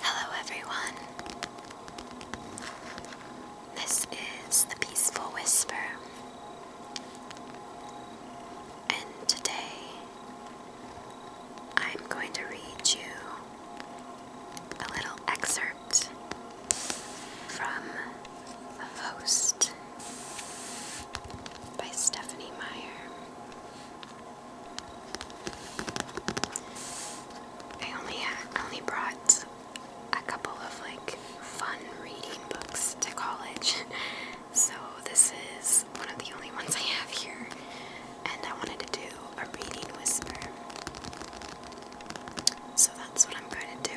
Hello, everyone. This is the Peaceful Whisper, and today I'm going to read you a little excerpt from a Host by Stephanie Meyer. I only only brought a couple of like fun reading books to college. So this is one of the only ones I have here and I wanted to do a reading whisper. So that's what I'm going to do.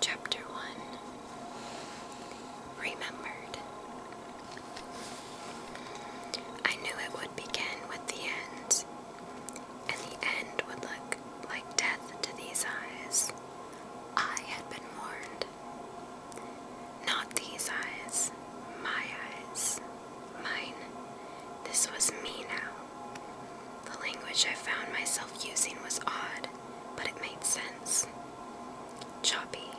Chapter 1 Remembered. I knew it would begin with the end, and the end would look like death to these eyes. I had been warned. Not these eyes, my eyes. Mine. This was me now. The language I found myself using was odd, but it made sense. Choppy,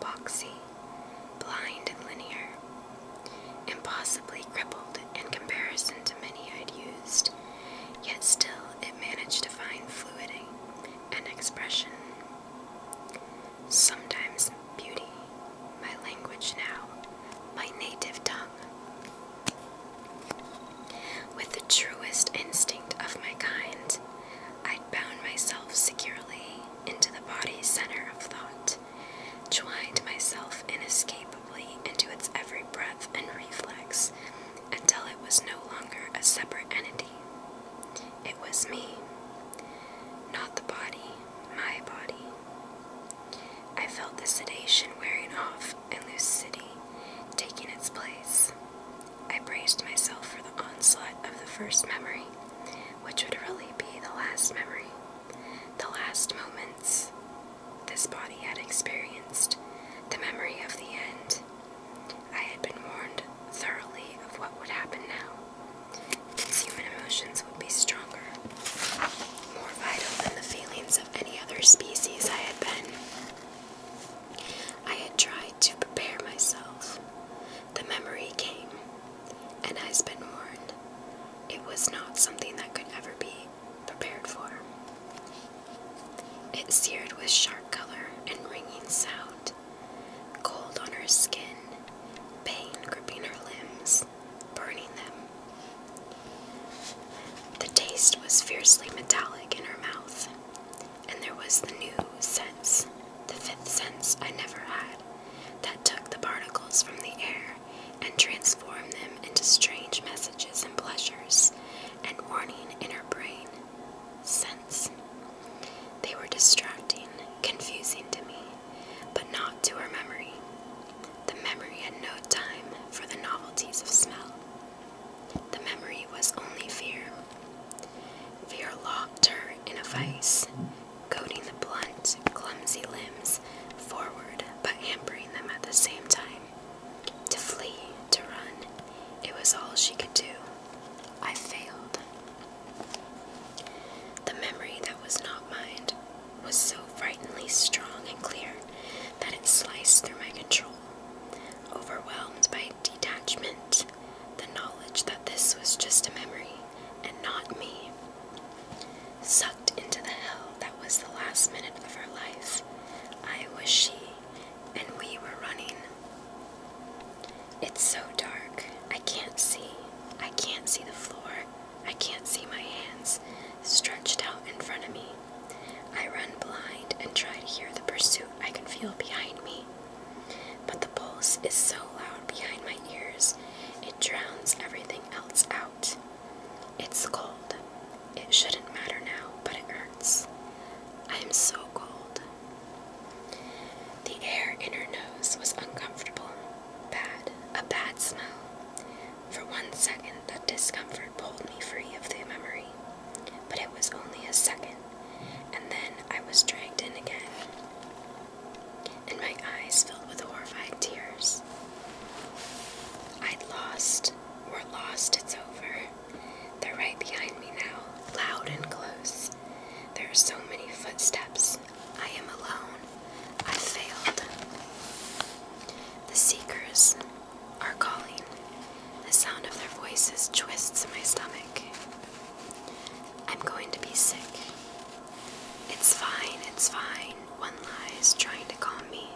boxy, blind and linear. Impossibly crippled in comparison to many I'd used, yet still it managed to find fluidity and expression. Sometimes beauty my language now, my native tongue. With the truest instinct of my kind, i bound myself securely into the body's center of thought, twined myself inescapably into its every breath and reflex until it was no longer a separate entity. It was me, not the body, my body. I felt the sedation wearing off and lucidity taking its place. I braced myself for the onslaught of the first memory, which would really be the last memory, the last moments this body had experienced, the memory of the end. I had been warned thoroughly of what would happen now. These human emotions would be stronger, more vital than the feelings of any other species I had been. I had tried to prepare myself. The memory came, and I has been warned. It was not something that could ever be prepared for. It seared with sharp color and ringing sound, cold on her skin, pain gripping her limbs, burning them. The taste was fiercely metallic in her mouth, and there was the new sense, the fifth sense I never had, that took the particles from the air and transformed them into strange messages and pleasures and warning in her brain. Sense. They were distracting, confusing to me, but not to her memory. The memory had no time for the novelties of smell. The memory was only fear. Fear locked her in a vice, coating the blunt, clumsy limbs forward but hampering them at the same time. To flee, to run, it was all she could do. I failed. The memory that was not mine was so frighteningly strong and clear that it sliced through my control. Overwhelmed by detachment, the knowledge that this was just a memory and not me sucked into the hell that was the last minute of her life. I was she, and we were running it's so dark. I can't see. I can't see the floor. I can't see my hands stretched out in front of me. I run blind and try to hear the pursuit I can feel behind me. But the pulse is so loud behind my ears, it drowns everything else out. It's cold. It shouldn't matter now, but it hurts. I am so cold. The air in her nose was uncomfortable, bad, a bad smell. For one second, that discomfort pulled me free of the memory, but it was only a second, and then I was dragged in again, and my eyes filled with horrified tears. I'd lost, we're lost, it's over. They're right behind me now, loud and close. There are so many footsteps. I am alone. I failed. The seekers are calling. The sound of their voices twists in my stomach. I'm going to be sick. It's fine, it's fine, one lies, trying to calm me,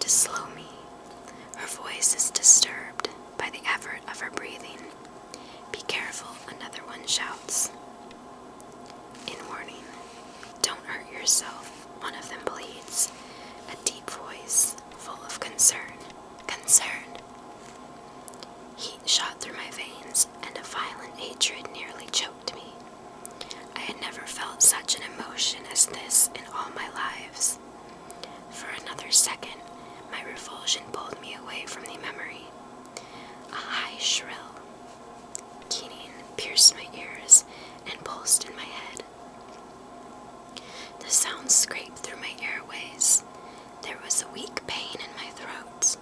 to slow me, her voice is disturbed by the effort of her breathing. Be careful, another one shouts. In warning, don't hurt yourself, one of them bleeds. a deep voice full of concern. Concern. Heat shot through my veins, and a violent hatred nearly choked me. I had never felt such an emotion as this in all my lives. For another second, my revulsion pulled me away from the memory. A high, shrill keening pierced my ears and pulsed in my head. The sound scraped through my airways. There was a weak pain in my throat.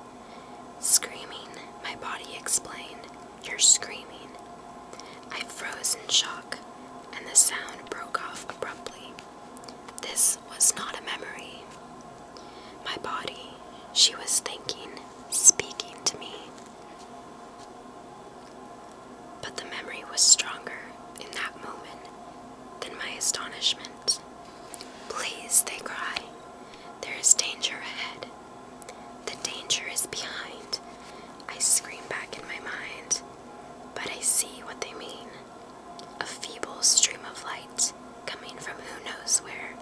Screaming, my body explained. You're screaming. I froze in shock, and the sound broke off abruptly. This was not a memory. My body, she was thinking, speaking to me. But the memory was stronger in that moment than my astonishment. Please, they cry. There is danger ahead. The danger is behind, I scream back in my mind, but I see what they mean. A feeble stream of light, coming from who knows where,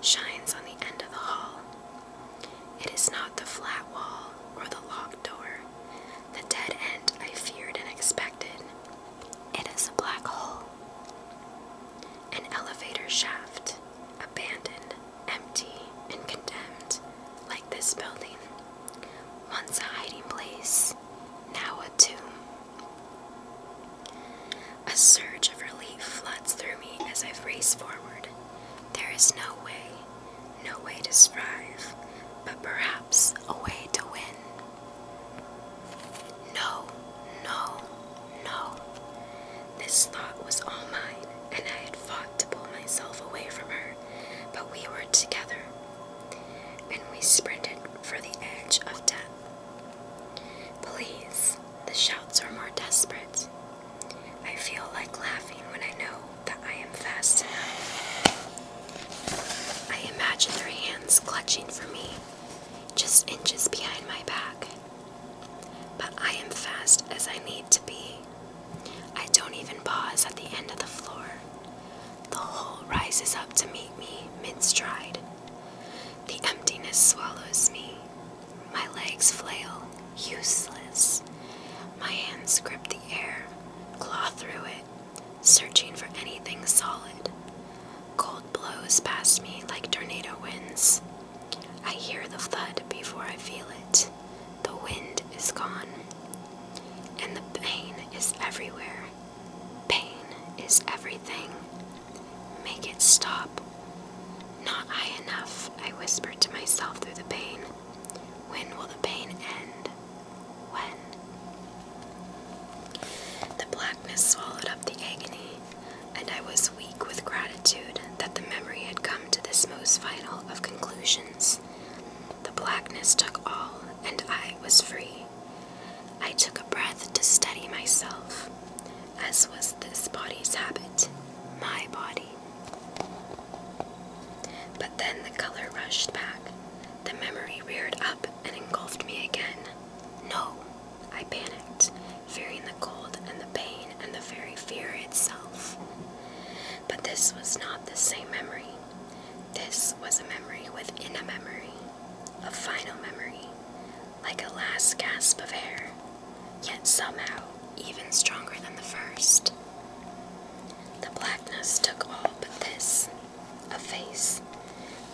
shines on the end of the hall. It is not the flat wall or the locked door, the dead end I feared and expected. It is a black hole. An elevator shaft, abandoned, empty, and condemned, like this building. Once a hiding place, now a tomb. A surge of relief floods through me as I race forward. There is no way, no way to strive, but perhaps a way to win. No, no, no. This thought was all mine, and I had fought to pull myself away from her, but we were together, and we sprinted for the edge of death. Please, the shouts are more desperate. I feel like laughing when I know that I am fast enough. I imagine their hands clutching for me, just inches behind my back, but I am fast as I need to be. I don't even pause at the end of the floor. The whole rises up to meet me mid stride. The emptiness swallows me. My legs flail, useless. My hands grip the air, claw through it, searching for anything solid. Cold blows past me like tornado winds. I hear the thud before I feel it. The wind is gone, and the pain is everywhere. Pain is everything. Make it stop. Not high enough, I whispered to myself through the pain. When will the pain end? When? The blackness swallowed up the agony and I was weak with gratitude that the memory had come to this most final of conclusions. The blackness took all, and I was free. I took a breath to steady myself, as was this body's habit, my body. But then the color rushed back. The memory reared up and engulfed me again. No, I panicked, fearing the cold and the pain and the very fear itself. But this was not the same memory. This was a memory within a memory, a final memory, like a last gasp of air, yet somehow even stronger than the first. The blackness took all but this a face,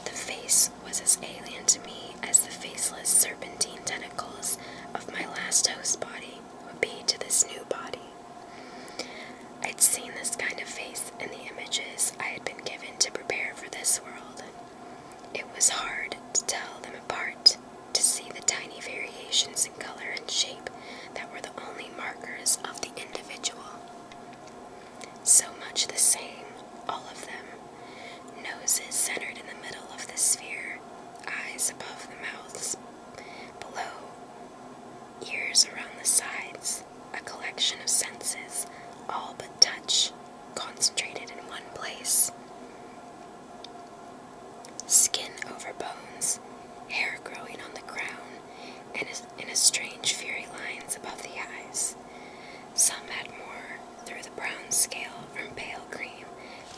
the face was as alien to me as the faceless serpentine tentacles of my last host body would be to this new body. I'd seen this kind of face in the images I had been given to prepare for this world. It was hard to tell them apart, to see the tiny variations in color and shape that were the only markers of the individual. So much the same all of them. Noses centered in the middle of the sphere, eyes above the mouths, below, ears around the sides, a collection of senses, all but touch, concentrated in one place. Skin over bones, hair growing on the crown, and in a strange furry lines above the eyes. Some had more through the brown scale from pale cream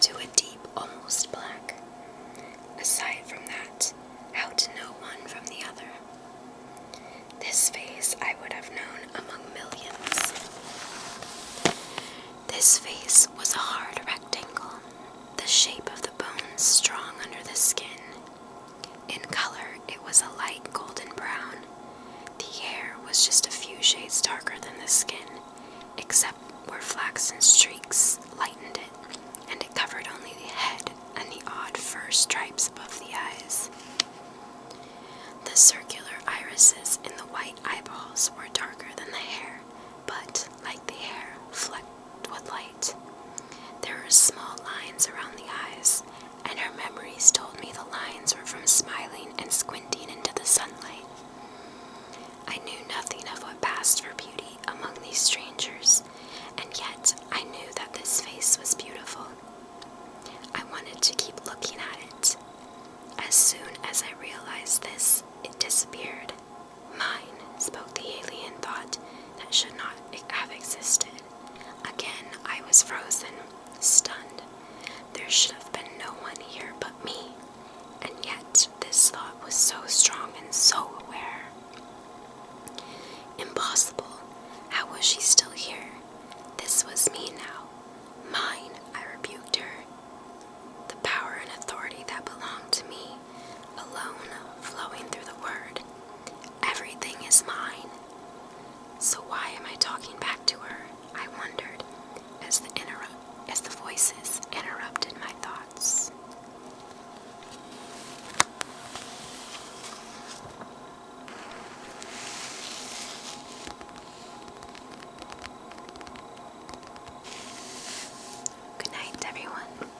to a deep, almost black. Aside from that, how to know one from the other? This face I would have known among millions. This face was a hard rectangle, the shape of the bones strong under the skin. In color, it was a light golden brown, the hair was just a few shades darker than the skin, except where flaxen streaks lightened it, and it covered only the head and the odd fur stripes above the eyes. The circular irises in the white eyeballs were darker than the hair, but, like the hair, flecked with light. There were small lines around the eyes, and her memories told me the lines were from smiling and squinting into the sunlight. I knew nothing of what passed for beauty among these strangers, and yet I knew that this face was beautiful. I wanted to keep looking at it. As soon as I realized this, it disappeared. Mine, spoke the alien thought that should not have existed. Again, I was frozen, stunned. There should have been no one here but me, and yet this thought was so strong and so aware. Impossible. How was she still here? This was me now. Mine, I rebuked her. The power and authority that belonged to me, alone flowing through the word, Everything is mine. So why am I talking back to her? I wondered as the interrupt as the voices interrupted my thoughts. Good night, everyone.